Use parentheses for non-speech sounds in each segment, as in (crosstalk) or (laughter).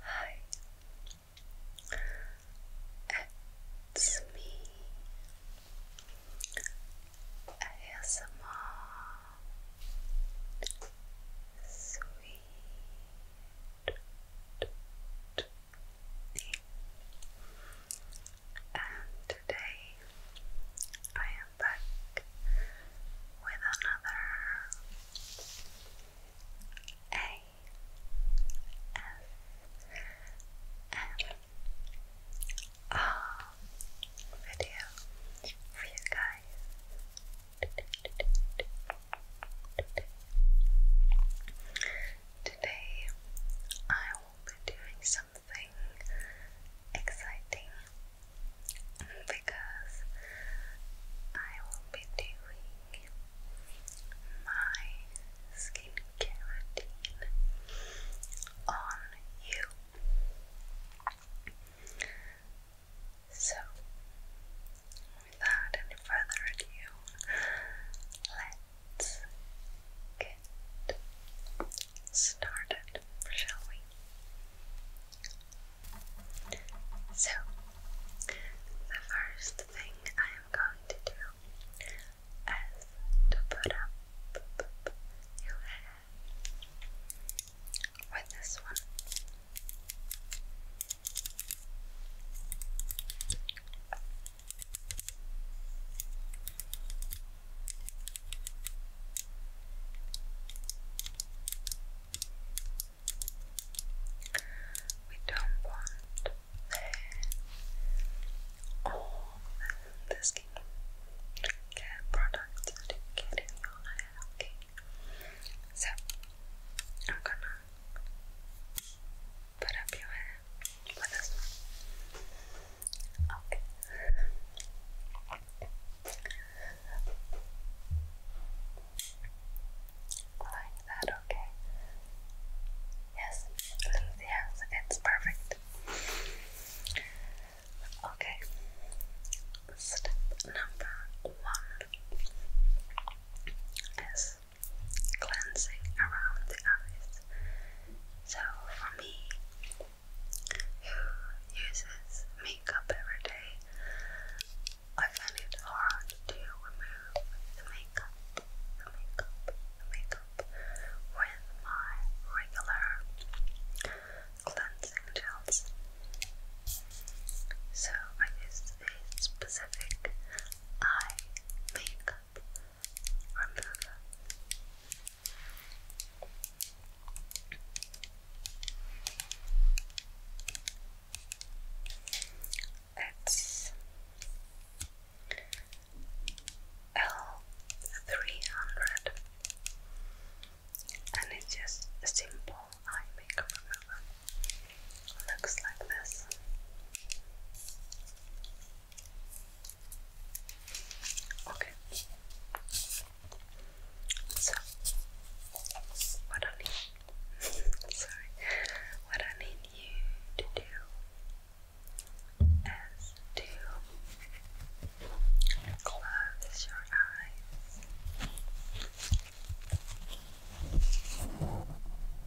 Hi, it's me, ASMR Sweet and today I am back with another ASMR video for you guys. Today I will be doing some something exciting because I will be doing my skincare routine on you. So, without any further ado, let Let's get started, shall we? So, the first thing I am going to do is to put up your hair with this one. We don't want all the, the skin care you in your hair, okay? So, I'm gonna put up your hand. Okay. Like that, okay? Yes, yes, it's perfect. Okay, step number one is cleansing around the eyes so for me, who uses makeup every day, I find it hard to remove the makeup, the makeup, the makeup with my regular cleansing gels. So I use a specific eye makeup remover. It's L three hundred, and it's just simple eye makeup remover. Looks like this. Okay. So what I need (laughs) sorry. What I need you to do is to close your eyes.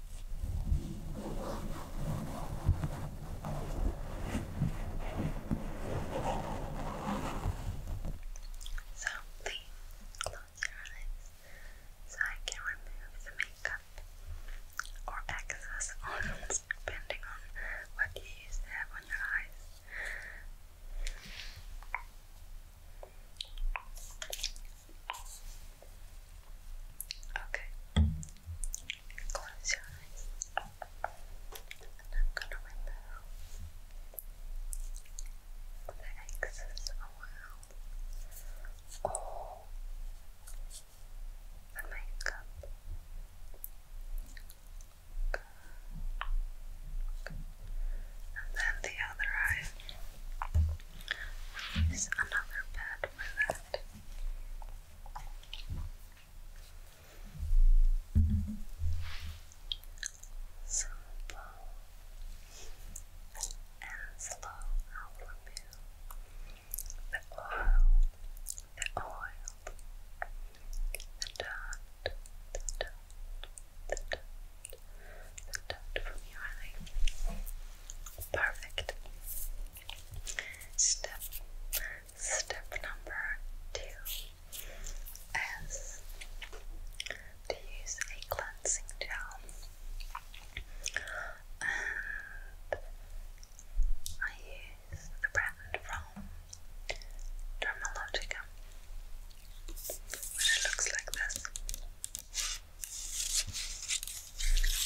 So please close your eyes so I can remove the makeup or excess oils depending on what you used to have on your eyes. Okay. Close your eyes. And I'm gonna remove the excess around all the makeup. Oh, and then the other eye is another bad for that. and slow. I will the oil, the oil, the dirt, the dirt, the dirt, the dirt from your eye. Perfect. Step step number two is to use a cleansing gel and I use the brand from Dermalogica which looks like this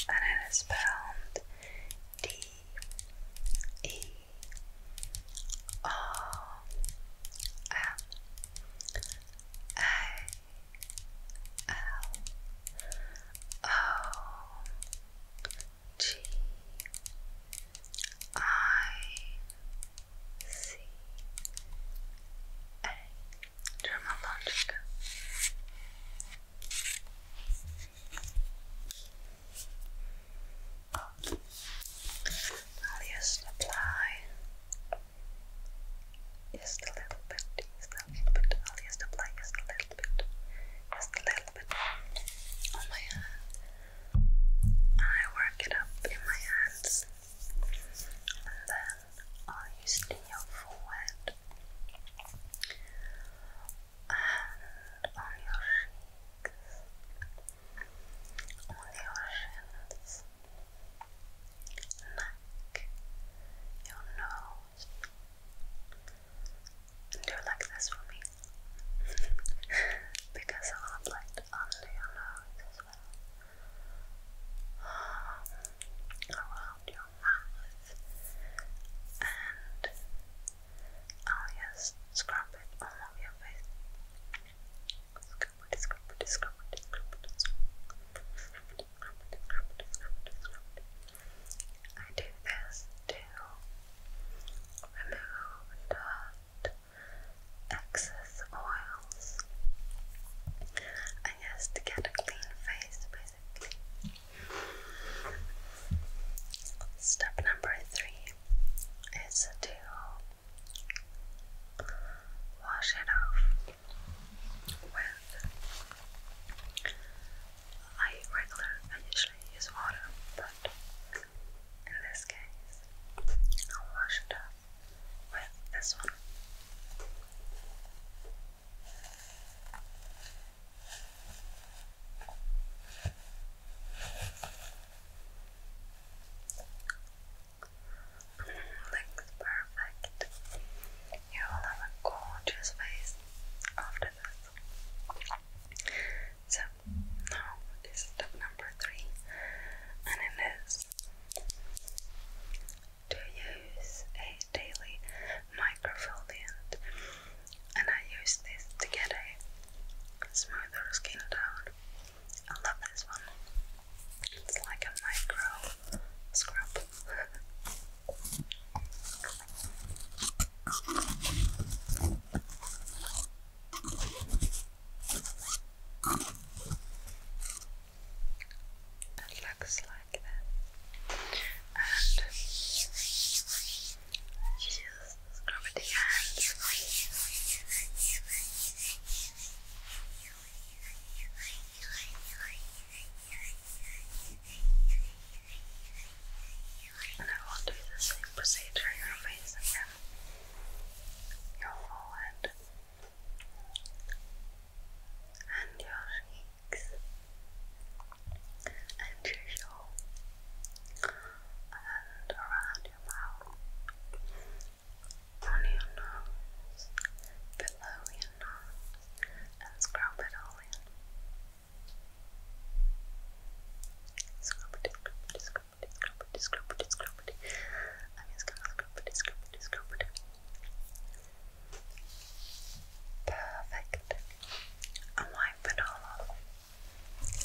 and it is spelled D E O M A L O G I C A I'll just apply just a little bit, just a little bit. I'll just apply just a little bit, just a little bit on my hand. I work it up in my hands and then I'll use it in your forehead and on your cheeks, on your shins, neck, your nose. Do you like this for me? (laughs) because I will apply it under your nose as well around your mouth and I'll oh, just scrub it all over your face. Scrub scrub scrub scrub scrub scrub I do this to remove dirt, excess oils is to get a clean face, basically. Step number three is to wash it off with. I regular, I usually use water, but in this case, i wash it off with this one. Mm, looks perfect. You will have a gorgeous face after this. So now is step number three, and it is to use a daily microfoliant and I use this to get a smoother skin tone. I love this one. It's like a micro scrub. (laughs) It looks like that. And just the hands. And I will do the same procedure on your face again. Your forehead and your cheeks and your jaw and around your mouth on your nose, below your nose and scrub it all in scrub it, scrub it, scrub it, scrub it, scrub it, scrub it I'm just going scrub it, scrub it, scrub it Perfect. And wipe it all off.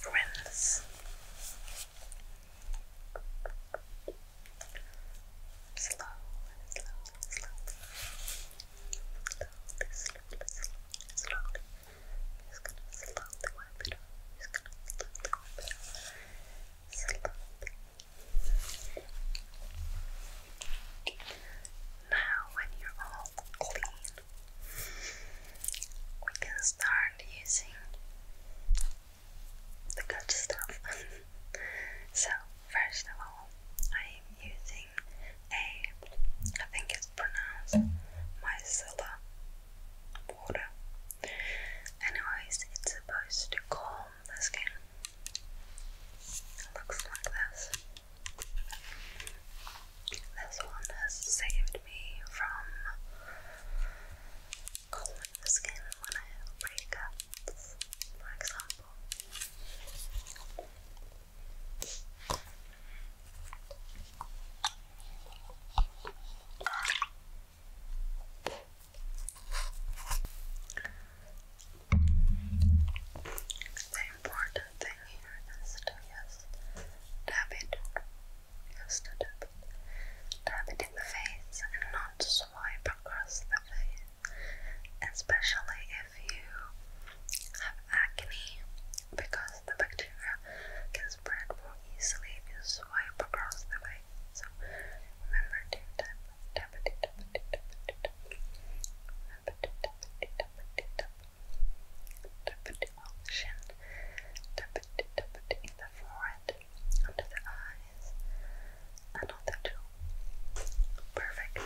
Rinse. Slow and slow and slow. Slowly, slowly, slowly, slowly. Just gonna now, when you're all clean, we can start using the good stuff. (laughs) so, first of all, I am using a, I think it's pronounced micellar water. Anyways, it's supposed to calm this game. looks like this. This one has saved me from the skin when I have breakups, for example. The important thing here is to just tap it, just to tap it, in the face and not swipe across the face, especially if you have acne because the bacteria can spread more easily if you swipe across the way. So remember to tap, tap it, tap it, tap it, tap it. Remember to tap it, tap it, tap it. Tap it on the shin. Tap it, tap it in the forehead, under the eyes, and on the jaw. Perfect.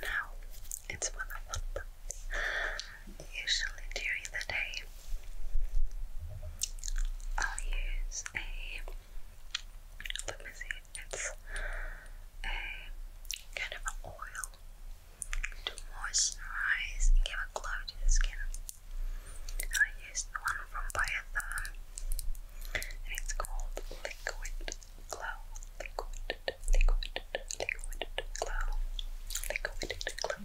Now it's one of one usually during the day, I'll use a let me see, it's a kind of an oil to moisturize and give a glow to the skin. I used one from Biotherm and it's called Liquid Glow. Liquid, liquid, liquid glow. Liquid glow.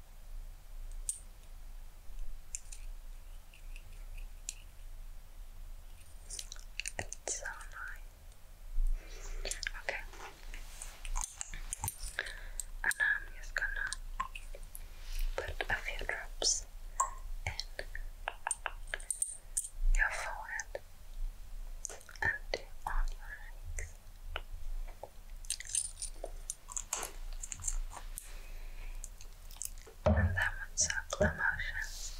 It's so nice. Okay. And I'm just gonna put a few drops in your forehead and on your legs. And then with subtle motions,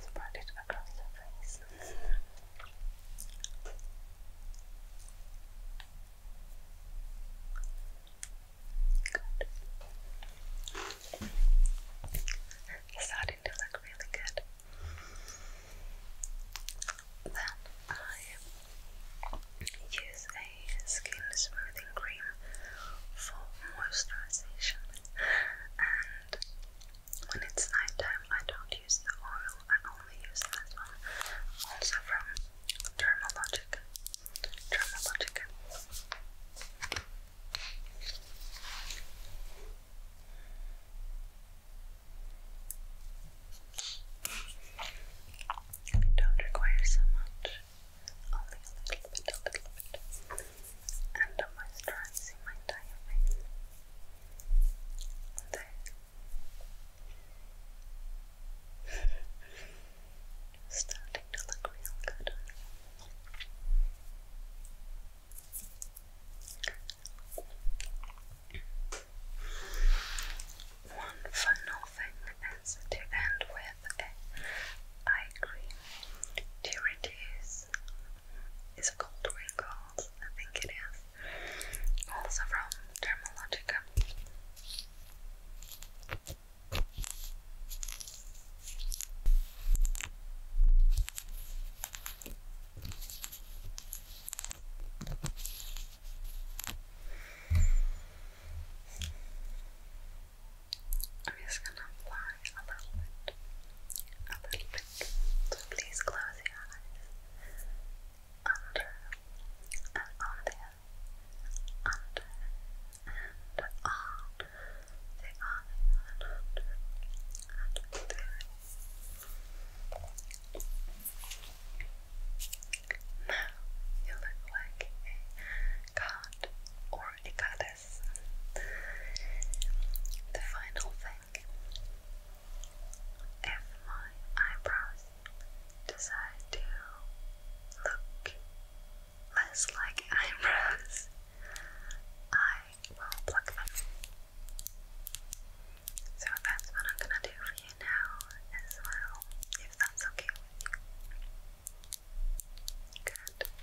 spread it across the face. Good. starting to look really good. Then I use a skin smoothing cream for moisturization. And when it's night I don't use the oil, I only use this one. Also from Dermalogic. Dermalogic. And it don't require so much, only a little bit, a little bit, and i moisturizing my entire face. (laughs) Starting to look real good. One final thing is to end with a eye cream to reduce is called wrinkles, I think it is. Also from Dermalogica. I'm just gonna apply a little bit, a little bit. please close your eyes. Under and on there. Under and They are, they are, and under and now you look like a god or goddess. The final thing if my eyebrows decide to look less like eyebrows, I will pluck them. So that's what I'm gonna do for you now as well, if that's okay with you. Good.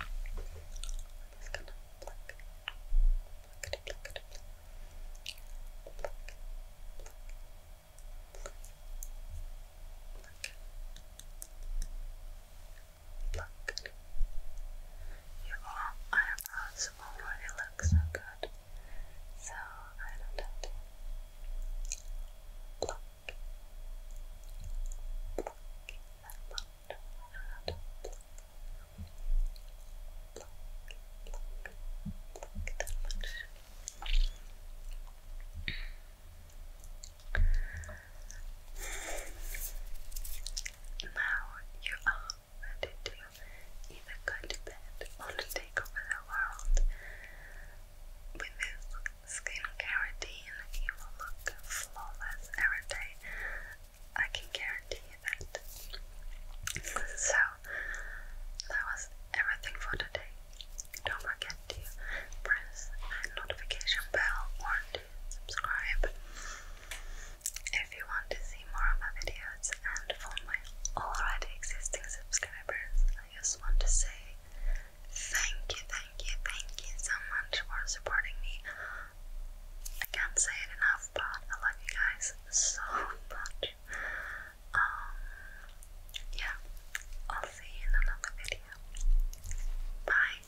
I'm just gonna pluck, pluck, pluck, pluck, pluck, pluck, pluck. Pluck your Oh, already looks so good, so I don't have to pluck, pluck that much. I don't have to pluck, pluck, pluck, that much. Now you are ready to either go to bed or to take over the world. With this skincare routine, you will look flawless every day. I can guarantee that. So, that was everything for today. Don't forget to press that notification bell or to subscribe. If you want to see more of my videos and for my already existing subscribers, I just want to say thank you, thank you, thank you so much for supporting me. I can't say it enough, but I love you guys so much. Um, yeah, I'll see you in another video. Bye.